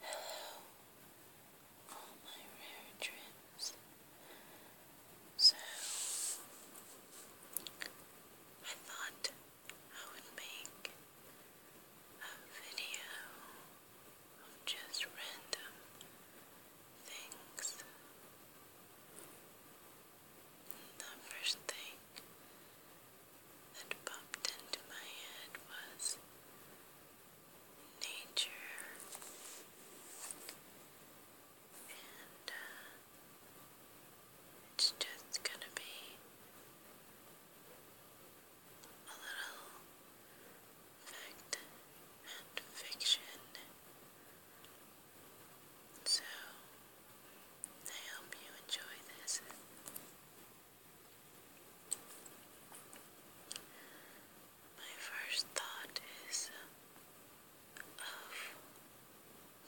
Hello, all my rare dreams. So, I thought I would make a video of just random things. The first thing that popped into my head was nature and uh, it's just gonna be a little fact and fiction so I hope you enjoy this. My first thought is of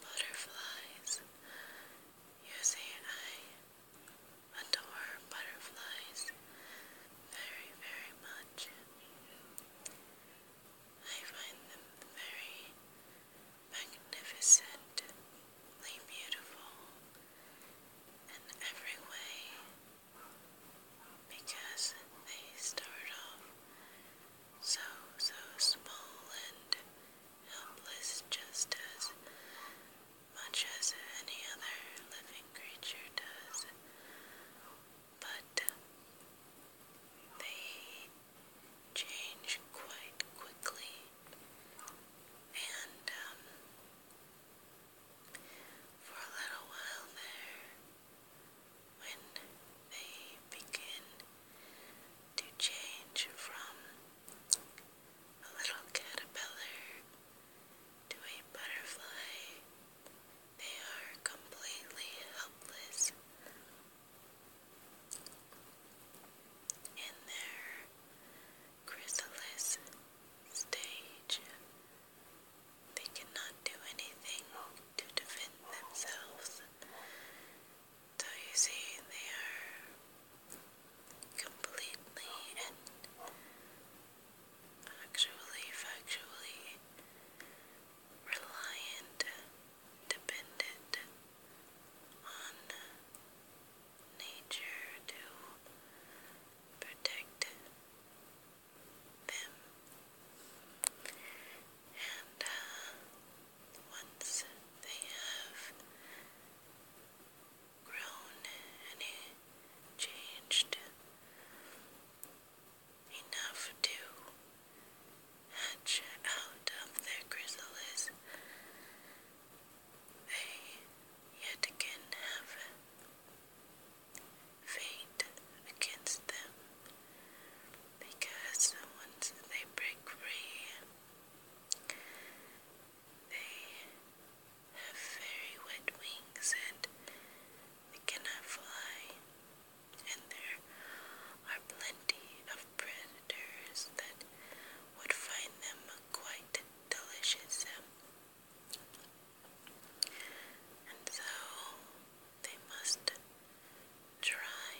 butterflies. You see, I adore butterflies very, very much. I find them very magnificently beautiful in every way because they start off so, so small and helpless, just as much as any other living creature does. But they change quite quickly, and um, for a little while there, when they begin to change from a little caterpillar to a butterfly, they are completely helpless in their chrysalis stage. They cannot do anything to defend themselves. So you see, they are completely and actually, factually reliant dependent on nature to protect them. And uh, once they have grown and changed enough to hatch out of their chrysalis. They yet again have fate against them because once they break free, they have very wet wings and cannot fly and there are plenty of predators that would find them quite delicious. And so they must dry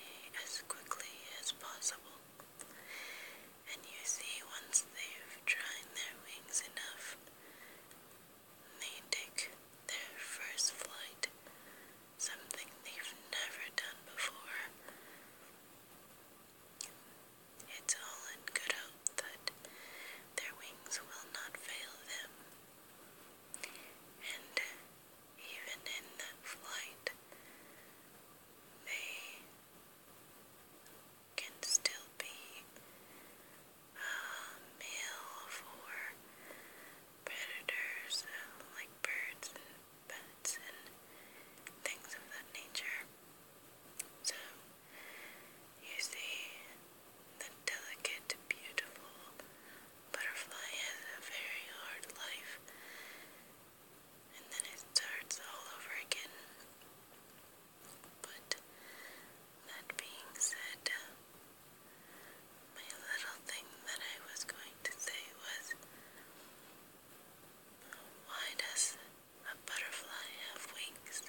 as quickly as possible. And you see, once they've dried their wings enough, they take their first flight something they've never done before. It's all in good hope that their wings will not fail them. And even in that flight, they can still be a meal for predators like birds and pets and things of that nature. So you see, the delicate, beautiful butterfly has a very hard life, and then it starts all over again. But that being said, my little thing that I was going to say was why does a butterfly have wings?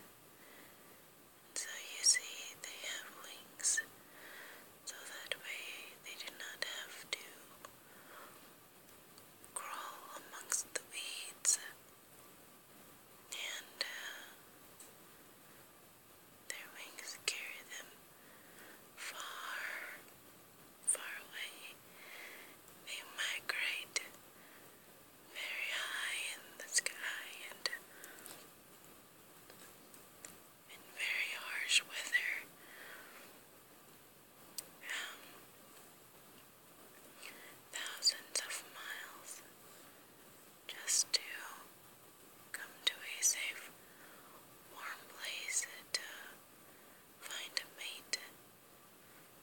so you see, they have wings, so that way they do not have to crawl amongst the weeds and uh, their wings carry them far, far away. They migrate very high in the sky and in very harsh weather. Um, thousands of miles just to come to a safe, warm place to find a mate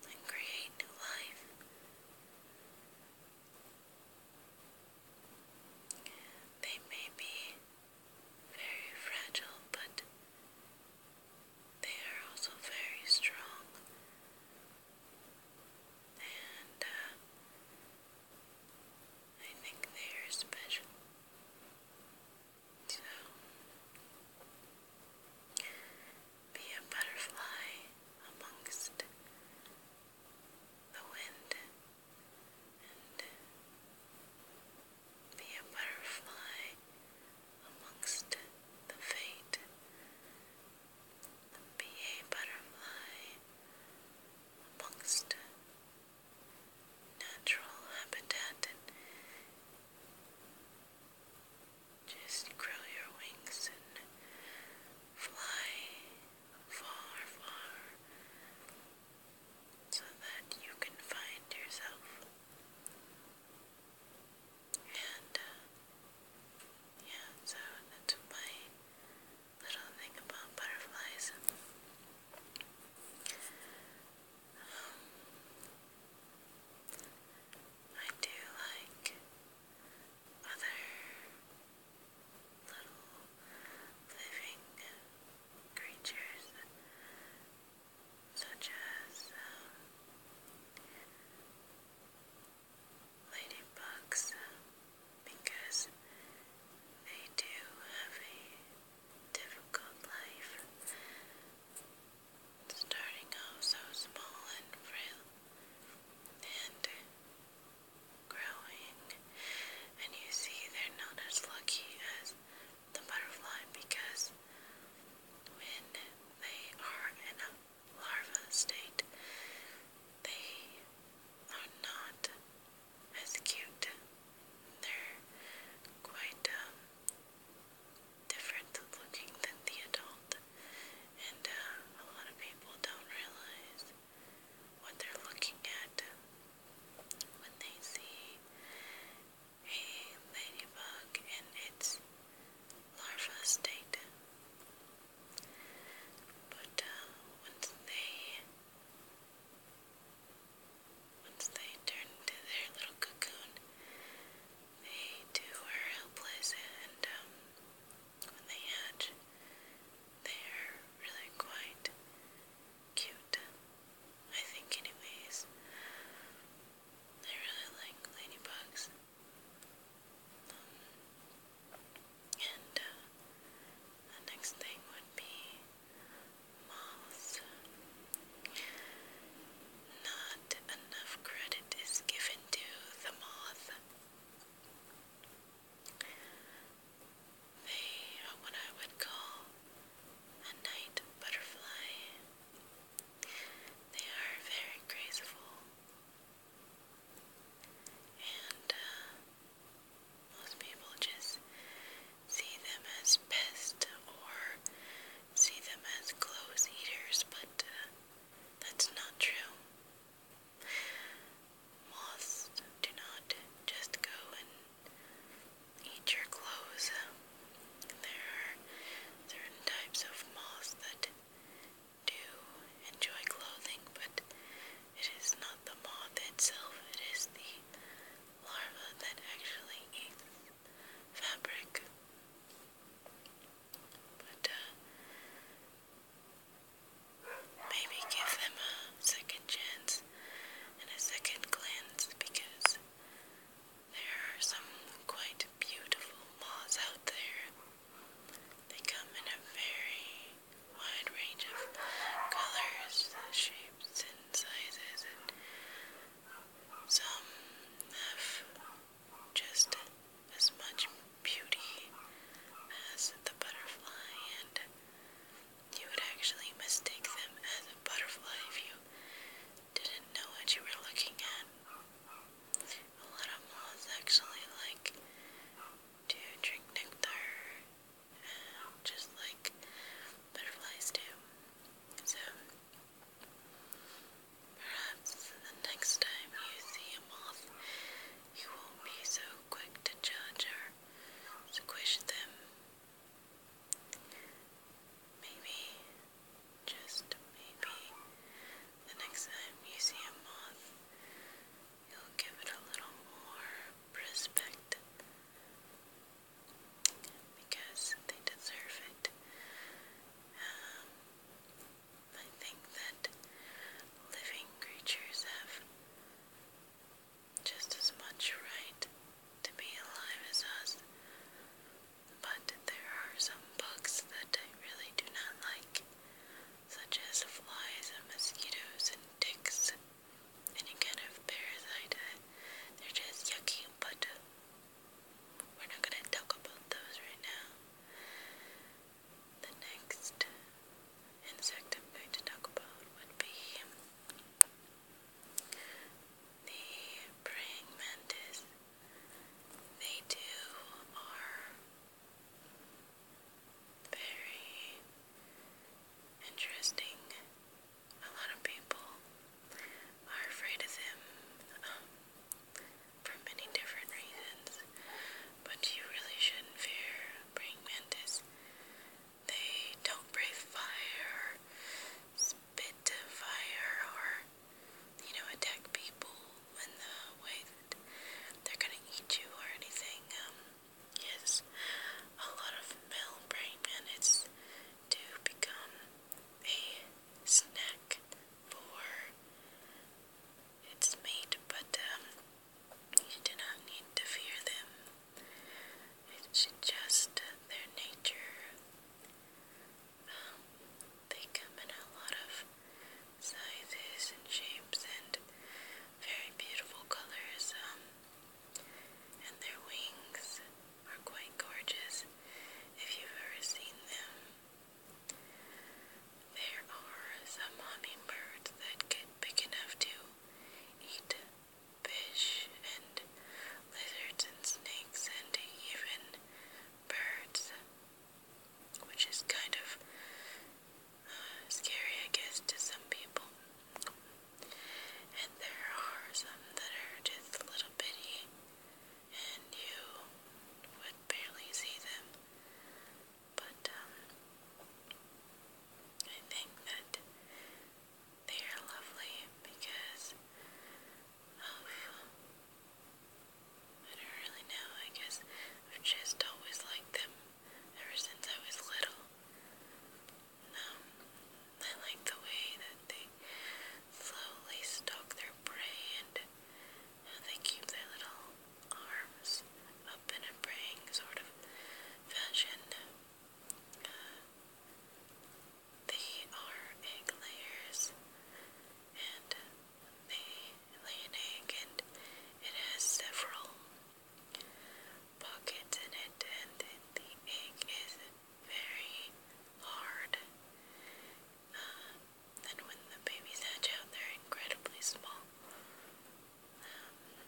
and create new life. They may be very fragile, but they are also very strong. Uh, I think they are special. So, be a butterfly amongst the wind and be a butterfly amongst the fate. Be a butterfly amongst natural habitat and just grow your wings and fly far, far so that you can find yourself. And uh, yeah, so that's my little thing about butterflies. Um, I do like other little living creatures, such as um, ladybugs uh, because they do have a difficult life, starting off so small and frail and growing. And you see, they're not as lucky as the butterfly because when they are in a larva state, they are not as cute. They're quite um, different looking than the adult, and uh, a lot of people don't realize what they're looking at when they see a ladybug in its larva state. But uh, once they once they turn into their little cocoon, they too are helpless, and um, when they hatch, they are really quite cute. I think, anyways. I really like ladybugs. Um, and uh, the next thing would be moths. Not enough credit is given to the moth. They are what I would call a night butterfly. They are very graceful and uh, most people just see them as pests or see them as clothes eaters, but uh, that's not true. Moths do not just go and eat your clothes. There are certain types of moths that do enjoy clothing, but it is not the moth itself, it is the larva that actually eats fabric. But uh, maybe give them a second chance and a second glance because there are some quite beautiful moths out there they come in a very wide range of colors, shapes, and sizes, and some have just as much beauty as the butterfly, and you would actually mistake them as a butterfly if you didn't know what you were looking at a lot of moths actually like to drink nectar, just like butterflies do. So, perhaps the next time you see a moth, you won't be so quick to judge or squish them. Maybe, just maybe, the next time you see a moth, you'll give it a little more respect because they deserve it. Um, I think that living creatures have just as much right to be alive as us, but there are some bugs that I really do not like such as flies and mosquitoes and ticks, any kind of parasite. They're just yucky, but we're not going to talk about those right now. The next insect I'm going to talk about would be the praying mantis they too are very interesting. A lot of people are afraid of them um, for many different reasons, but you really shouldn't fear praying mantis. They don't breathe fire or spit fire or you know, attack people in the way that they're gonna eat you or anything, um, Yes, a lot of male and it's to become a snack for its mate, but, um, you do not need to fear them. It's just their nature they come in a lot of sizes and shapes and very beautiful colors. Um, and their wings are quite gorgeous if you've ever seen them. There are some hummingbirds that get big enough to eat fish and lizards and snakes and even birds which is kind of uh, scary, I guess, to some people. And there are some that are just a little bitty, and you would barely see them. But um, I think that they are lovely because I don't really know. I guess I've just always liked them ever since I was little. Um, I like the way that they slowly stalk their prey and they keep their little arms up in a praying sort of fashion. Uh, they are egg layers and they lay an egg and it has several pockets in it and the egg is very hard. Uh, and when the babies hatch out, they're incredibly small. Um,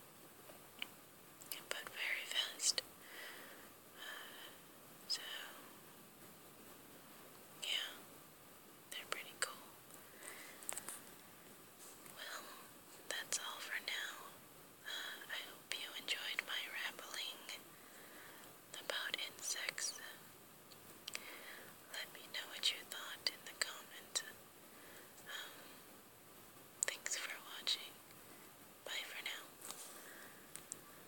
but very fast. Uh, so yeah, they're pretty cool. Well, that's all for now. Uh, I hope you enjoyed my rambling about insects. Let me know what you thought in the comment. Um, thanks for watching. Bye for now.